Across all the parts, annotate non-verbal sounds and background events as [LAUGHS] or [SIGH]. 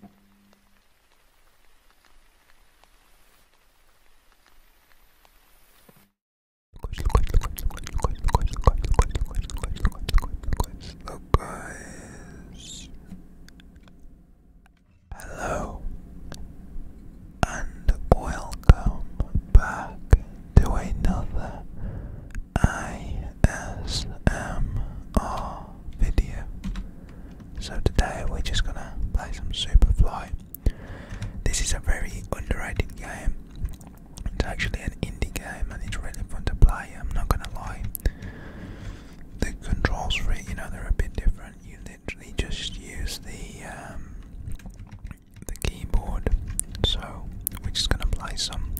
Look guys, hello and welcome back to another I ASMR um, video. So today we're just gonna play some Superfly. This is a very underrated game. It's actually an indie game and it's really fun to play, I'm not gonna lie. The controls for it, you know, they're a bit different. You literally just use the um, the keyboard. So we're just gonna play some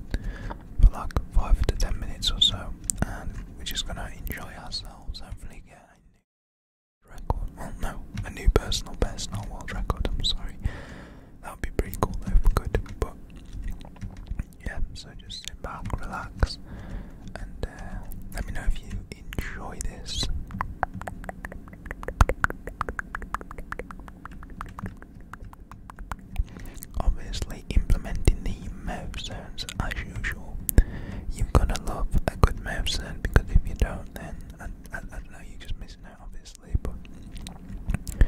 for like five to ten minutes or so and we're just gonna enjoy ourselves. Hopefully, get a new record. Well, no, a new personal best, not world record. I'm sorry. That would be pretty cool though, if we But yeah, so just sit back, relax, and uh, let me know if you enjoy this. Obviously, implementing the mouth sounds as usual. You've got to love a good mouth sound because if you don't, then I, I, I don't know, you're just missing out, obviously. But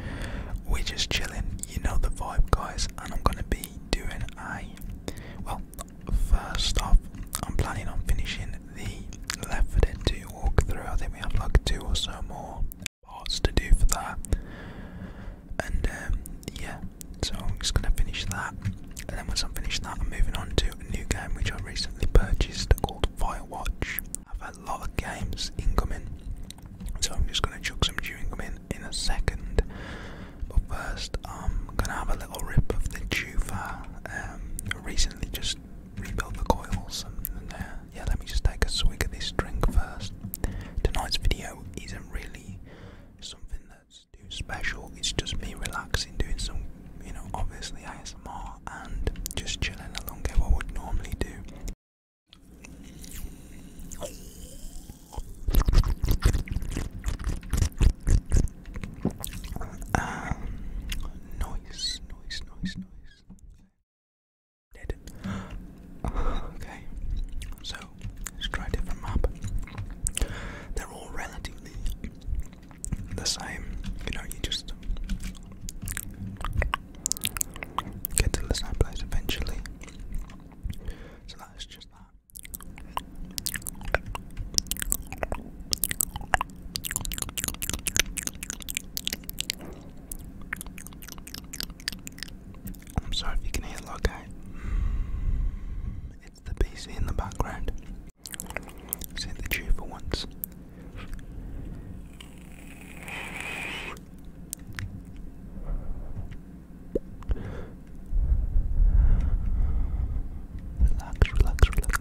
we're just chilling, you know the vibe, guys. And I'm gonna be doing a well. First off, I'm planning on finishing the Left 4 Dead 2 walkthrough. I think we have like two or so more parts to do for that. And um, yeah, so I'm just gonna finish that. And then once I'm finished that, I'm moving on to a new game which I recently purchased called Watch. I've had a lot of games incoming, so I'm just gonna chuck some chewing gum in in a second. But first, I'm gonna have a little rip of the juva. Um, recently just rebuilt the coils and, and uh, yeah, let me just take a swig of this drink first. Tonight's video isn't really something that's too special, it's just me relaxing, doing some, you know, obviously ASMR and just chilling along what I would normally do. Um, noise, noise, noise, noise. [GASPS] okay, so let's try a different map. They're all relatively the same, you know, you just get to the same place eventually. So that's just that. I'm sorry if you can hear that guy. Mm, it's the PC in the background. Say the chew for once. relax, relax, relax.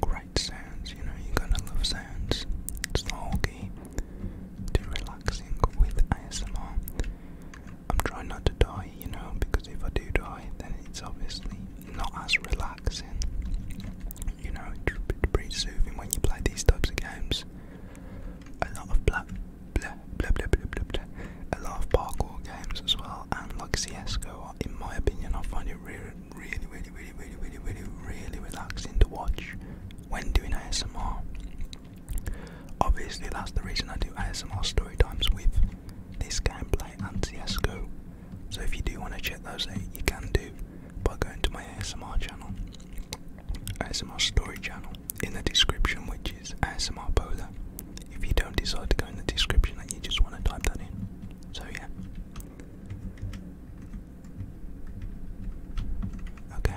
Great sounds, you know, you're gonna love sounds. It's the key to relaxing with ASMR. I'm trying not to die, you know, because if I do die, then it's obviously not as relaxing. You know, it's pretty soothing when you play these types of games. A lot of blah, blah, blah, blah, blah, blah, blah. a lot of parkour games as well and like CSGO in my opinion I find it really really really really really really really really relaxing to watch when doing ASMR. Obviously that's the reason I do ASMR story times with this gameplay and CSGO. So if you do want to check those out you can do by going to my ASMR channel. ASMR story channel in the description which which ASMR Polar. If you don't decide to go in the description and you just want to type that in. So, yeah. Okay.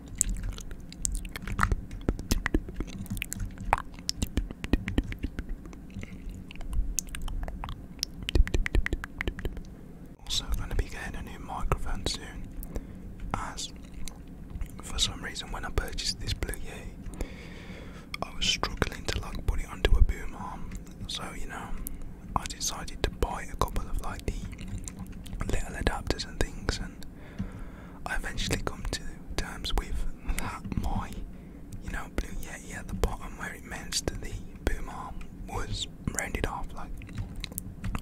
Also, going to be getting a new microphone soon, as for some reason when I purchased this Blue Yeti, I was struggling to like put it under a boom arm. So you know, I decided to buy a couple of like the little adapters and things, and I eventually come to terms with that my, you know, blue yeti at the bottom where it means to the boom arm was rounded off. Like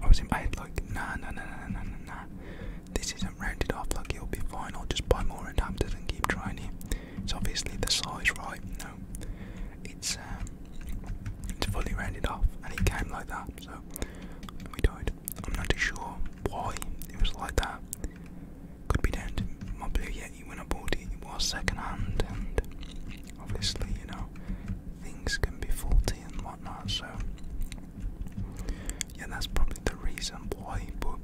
I was in my head like, nah, nah, nah, nah, nah, nah, nah. This isn't rounded off. Like it'll be fine. I'll just buy more adapters and keep trying It's obviously the size right. No, it's um, it's fully rounded off, and it came like that. So we died. I'm not too sure why it was like that. Could be down my Blue Yeti when I bought it, it was second and obviously, you know, things can be faulty and whatnot, so yeah, that's probably the reason why. But,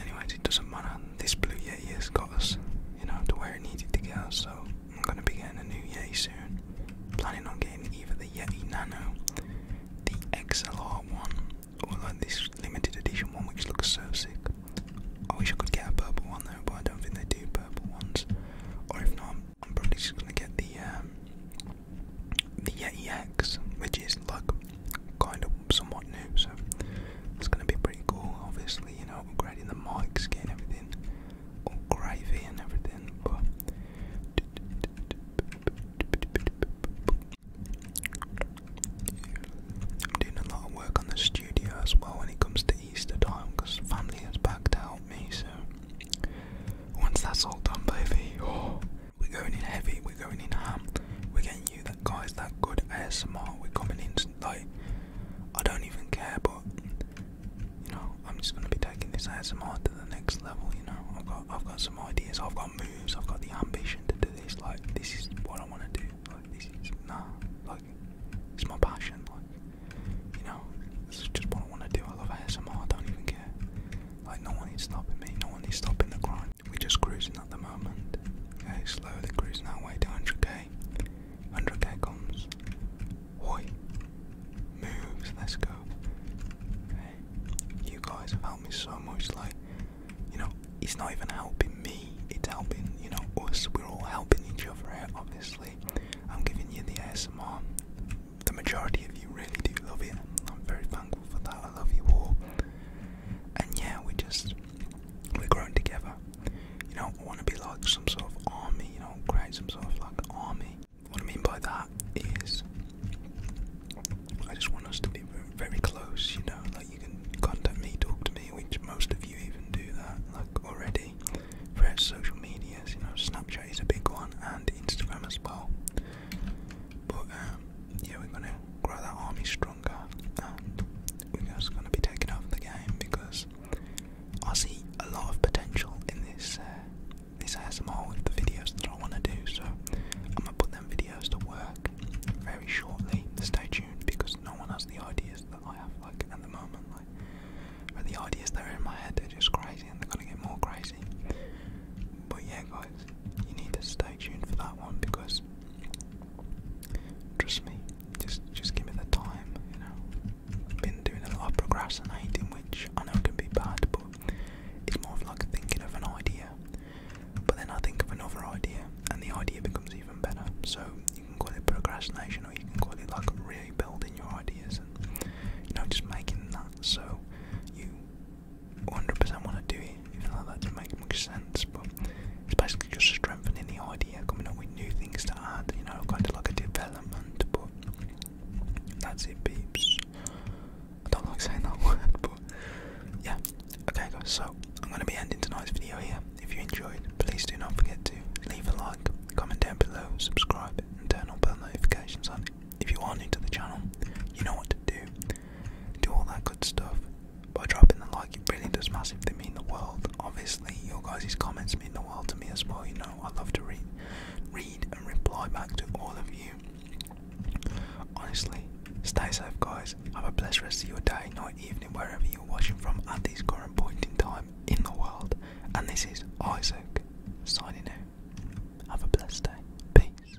anyways, it doesn't matter. This Blue Yeti has got us, you know, to where it needed to get us, so I'm gonna be getting a new Yeti soon. Planning on getting either the Yeti Nano, the XLR one, or like this limited edition one which looks so sick. I wish I could get a purple one though, but I don't think they do purple ones. Or if not, I'm probably just gonna get the um, the Yeti X, which is like kind of somewhat new, so it's gonna be pretty cool. Obviously, you know, upgrading the mics, getting everything all oh, gravy and everything, but I'm doing a lot of work on the studio as well when it comes to Easter time because family is back to help me. So once that's all done, baby, oh, we're going in heavy, we're going in ham, we're getting you that guys that good ASMR. We're coming in like I don't even care, but you know, I'm just gonna be taking this ASMR to the next level, you know. I've got I've got some ideas, I've got moves, I've got the ambition to do this, like this is what I wanna do. Like this is nah, like it's my passion, like you know, this is just what I wanna do. I love ASMR, I don't even care. Like no one is stopping me, no one is stopping the grind. We're just cruising at the moment. Okay, slowly cruising our way to 100k. 100k comes. Oi. Moves, let's go. You guys have helped me so much, like, you know, it's not even helping me, it's helping, you know, us. We're all helping each other obviously. I'm giving you the ASMR. The majority of you really do love it. I'm very thankful for that. I love you all. And yeah, we just, we're growing together you know, wanna be like some sort of army, you know, create some sort of like army. What I mean by that is, I just want us to be very close, you know, like you can contact me, talk to me, which most of you even do that, like already, for social medias, you know, Snapchat is a big one, and Instagram as well. But, um, yeah, we're gonna grow that army stronger, we're just gonna be taking over the game because I see a lot of potential in this uh, this ASMR with the videos that I want to do, so I'm gonna put them videos to work very shortly. Stay tuned because no one has the ideas that I have like at the moment. Like, but the ideas that are in my head, they're just crazy, and they're gonna get more crazy. But yeah, guys, you need to stay tuned for that one because Trust me, just just give me the time, you know. I've been doing a lot of procrastinating, which I know can be bad, but it's more of like thinking of an idea. But then I think of another idea, and the idea becomes even better. So you can call it procrastination, or you can call it like really building your ideas and, you know, just making that so you 100% want to do it, even though that doesn't make much sense. But it's basically just strengthening the idea, coming up with new things to add, you know, kind of like a development, but that's it, peeps. I don't like saying that [LAUGHS] word, but yeah. Okay, guys, so I'm going to be ending tonight's video here. If you enjoyed, please do not forget to leave a like, comment down below, subscribe, and turn on bell notifications on. If you are new to the channel, you know what to do. Do all that good stuff. By dropping the like, it really does massive massively mean the world. Obviously, your guys' comments mean the world to me as well. You know, I love to read, read and reply back to all of you. Honestly, stay safe, guys. Have a blessed rest of your day, night, evening, wherever you're watching from at this current point in time in the world. And this is Isaac signing out. Have a blessed day. Peace.